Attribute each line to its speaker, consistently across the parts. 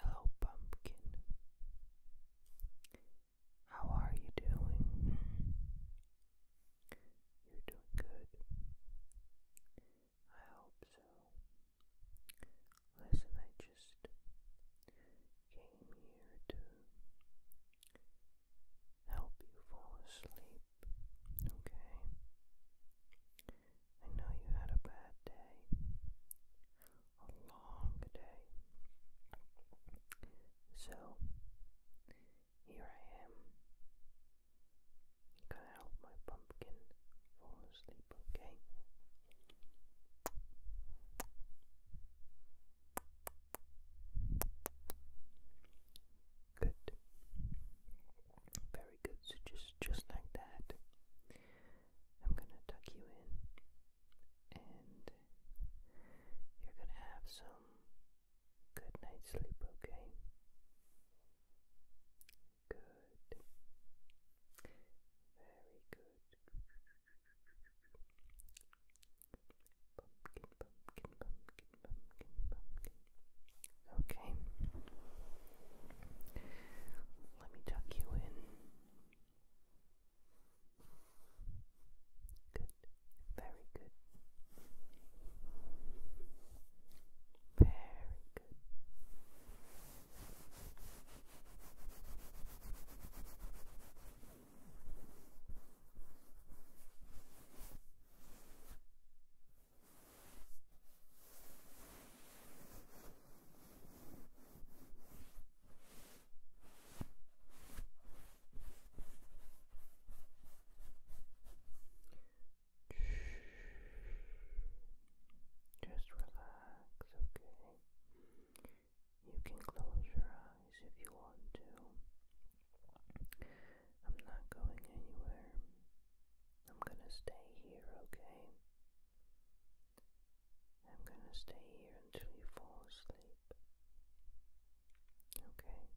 Speaker 1: Hello, pumpkin. How are you doing? You're doing good. I hope so. Listen, I just came here to help you fall asleep, okay? I know you had a bad day, a long day. So, here I am. Gonna help my pumpkin fall asleep, okay? Good. Very good. So just just like that. I'm going to tuck you in, and you're going to have some good night's sleep, okay? Good. Very good. Okay. Let me tuck you in. Good. Very good. Very good. Just relax, okay? You can close your eyes if you want to. I'm not going anywhere. I'm gonna stay here, okay? I'm gonna stay here until you fall asleep. Okay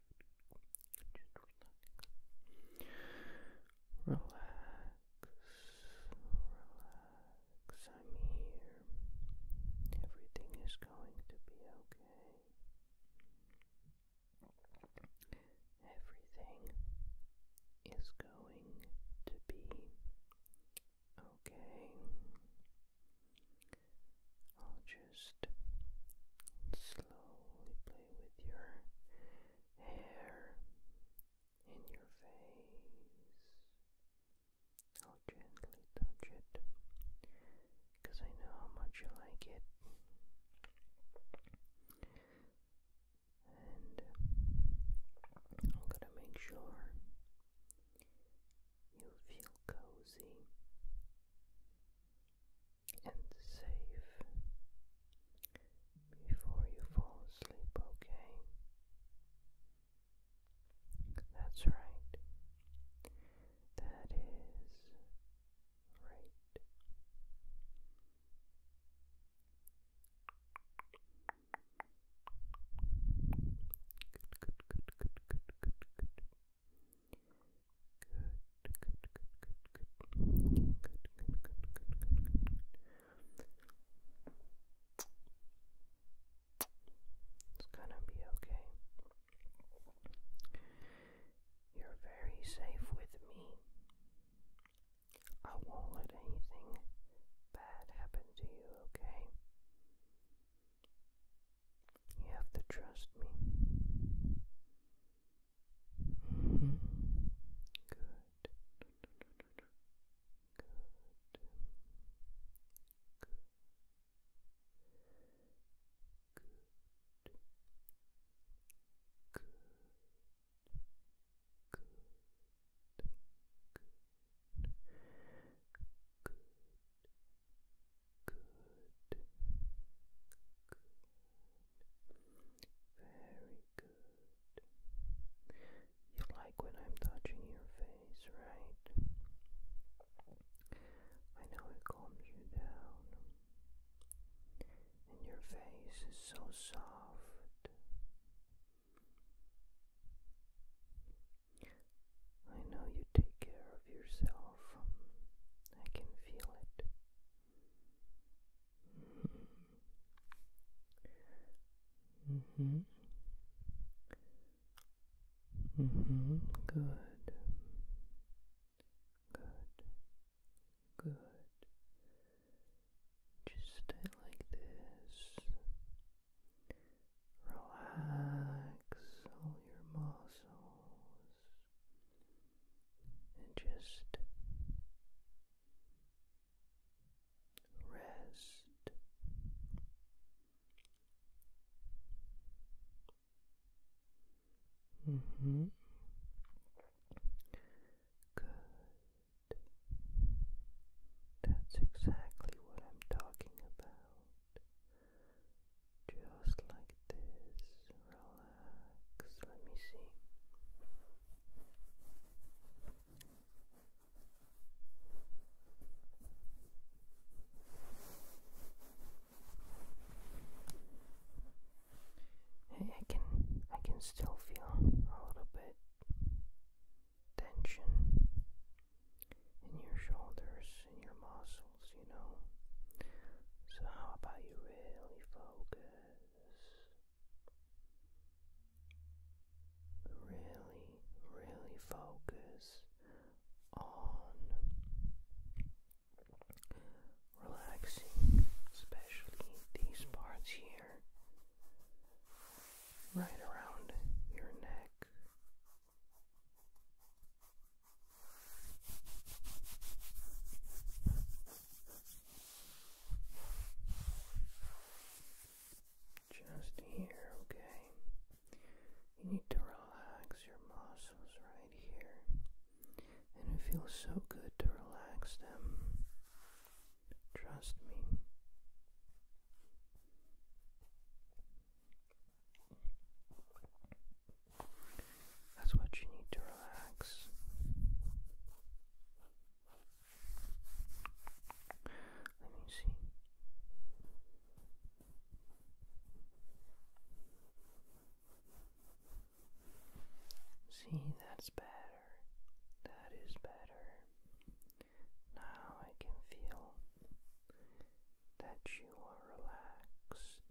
Speaker 1: relax, relax, I'm here. Everything is going to be okay. Everything is going to be okay. I'll just slowly play with your hair in your face. I'll gently touch it because I know how much you like it. And I'm gonna make sure you feel cozy and safe before you fall asleep, okay? That's right. That is right. Good, good, good, good, good, good, good. It's gonna be okay. You're very safe with me. I won't let anything bad happen to you, okay? You have to trust me. Mm -hmm. Good. Good. Good. Good. Good. Good. Good. Good. Good. Very good. You like when I'm touching your face, right? I know it calms you down. And your face is so soft. I know you take care of yourself. I can feel it. Mm hmm. hmm. Good. Good. Good. Just stay like this. Relax all your muscles and just rest. hmm. Good. That's exactly what I'm talking about just like this. Relax. Let me see. I can I can still feel a little bit tension in your shoulders, and your muscles, you know. So, how about you really focus? Really, really focus on relaxing, especially these parts here, right around your neck, just here, okay? You need to relax your muscles right here. And it feels so good to relax them. Trust me. That's what you need to relax. Let me see. See, that's better. That is better. Now I can feel that you are relaxed,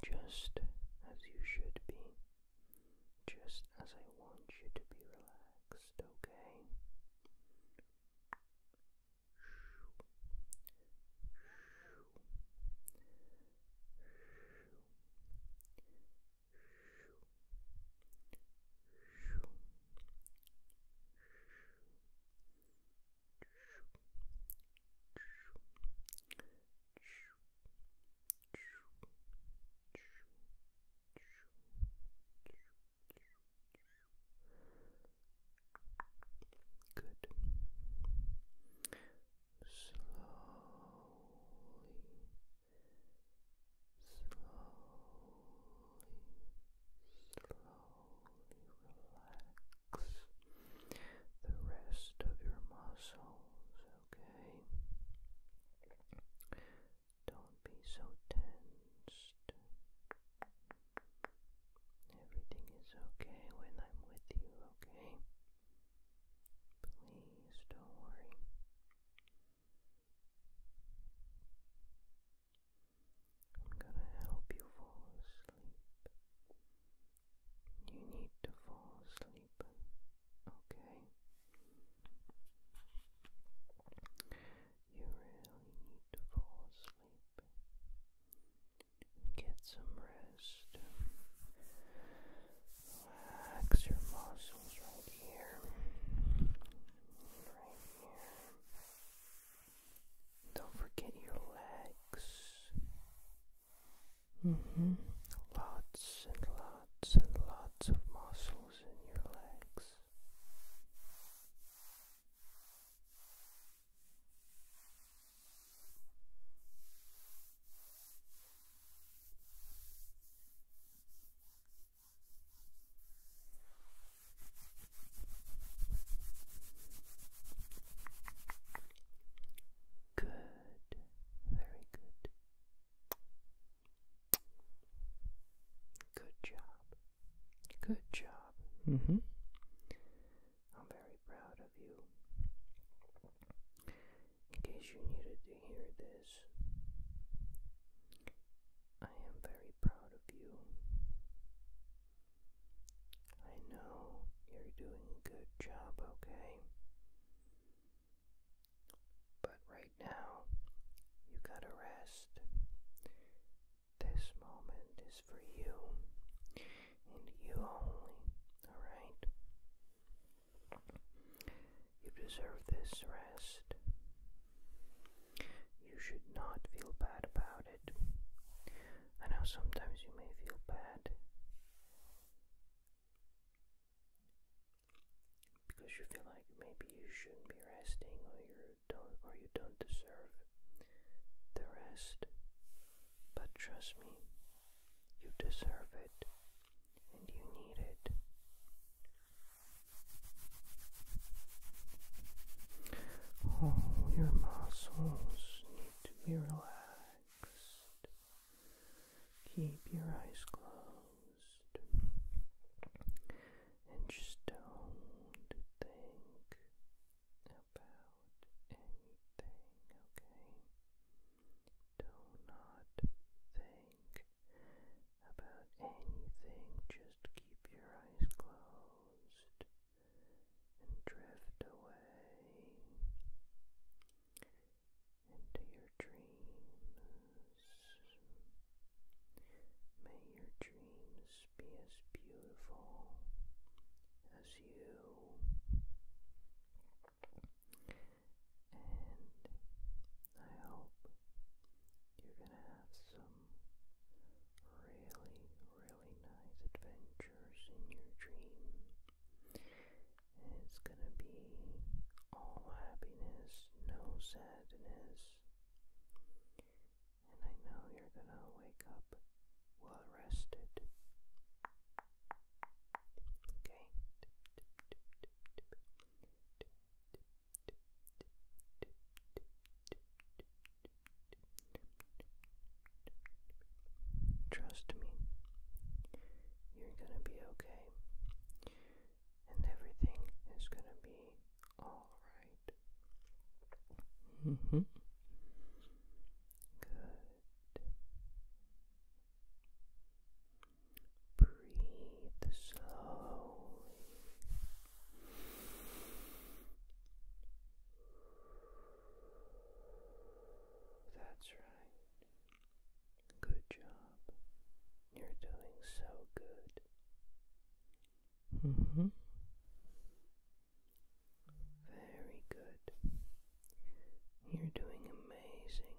Speaker 1: just as you should be, just as I want you to be relaxed, okay? Good. Slowly slowly relax the rest of your muscles, okay? Don't be so tensed. Everything is okay when I'm with you, okay? Please don't worry. I'm gonna help you fall asleep. You need to fall asleep, okay? You really need to fall asleep. Get some rest. Relax your muscles. Don't forget your legs. Mm-hmm. Lots and lots and lots of muscles in your legs. Good, very good. Good job. Good job. Mm-hmm. I'm very proud of you in case you needed to hear this. I am very proud of you. I know you're doing a good job, okay? But right now, you gotta rest. This moment is for you and you only, alright? You deserve this rest. You should not feel bad about it. I know sometimes you may feel bad because you feel like maybe you shouldn't be resting or you don't or you don't deserve the rest. But trust me, you deserve it and you need it. All oh, your muscles need to be relaxed. Keep your eyes closed and just don't think about anything, okay? Do not think about anything, just keep your eyes closed and drift away into your dreams. May your dreams be as beautiful as you. And I hope you're going to have some really, really nice adventures in your dream. it's going to be all happiness, no sadness. And I know you're going to wake up well rested. Trust me, you're gonna be okay, and everything is gonna be alright. Mm -hmm. Good. Breathe slowly. That's right. Good job. You're doing so good. hmm. Very good. You're doing amazing.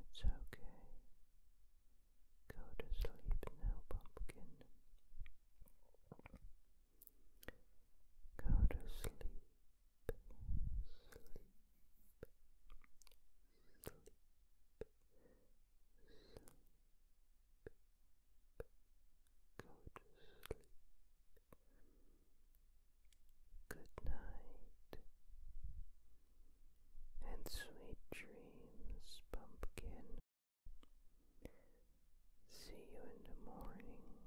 Speaker 1: It's okay. Go to sleep now, pumpkin. Go to Sleep. Sleep. Go to sleep. Good night. And sweet dreams, pumpkin. See you in the morning.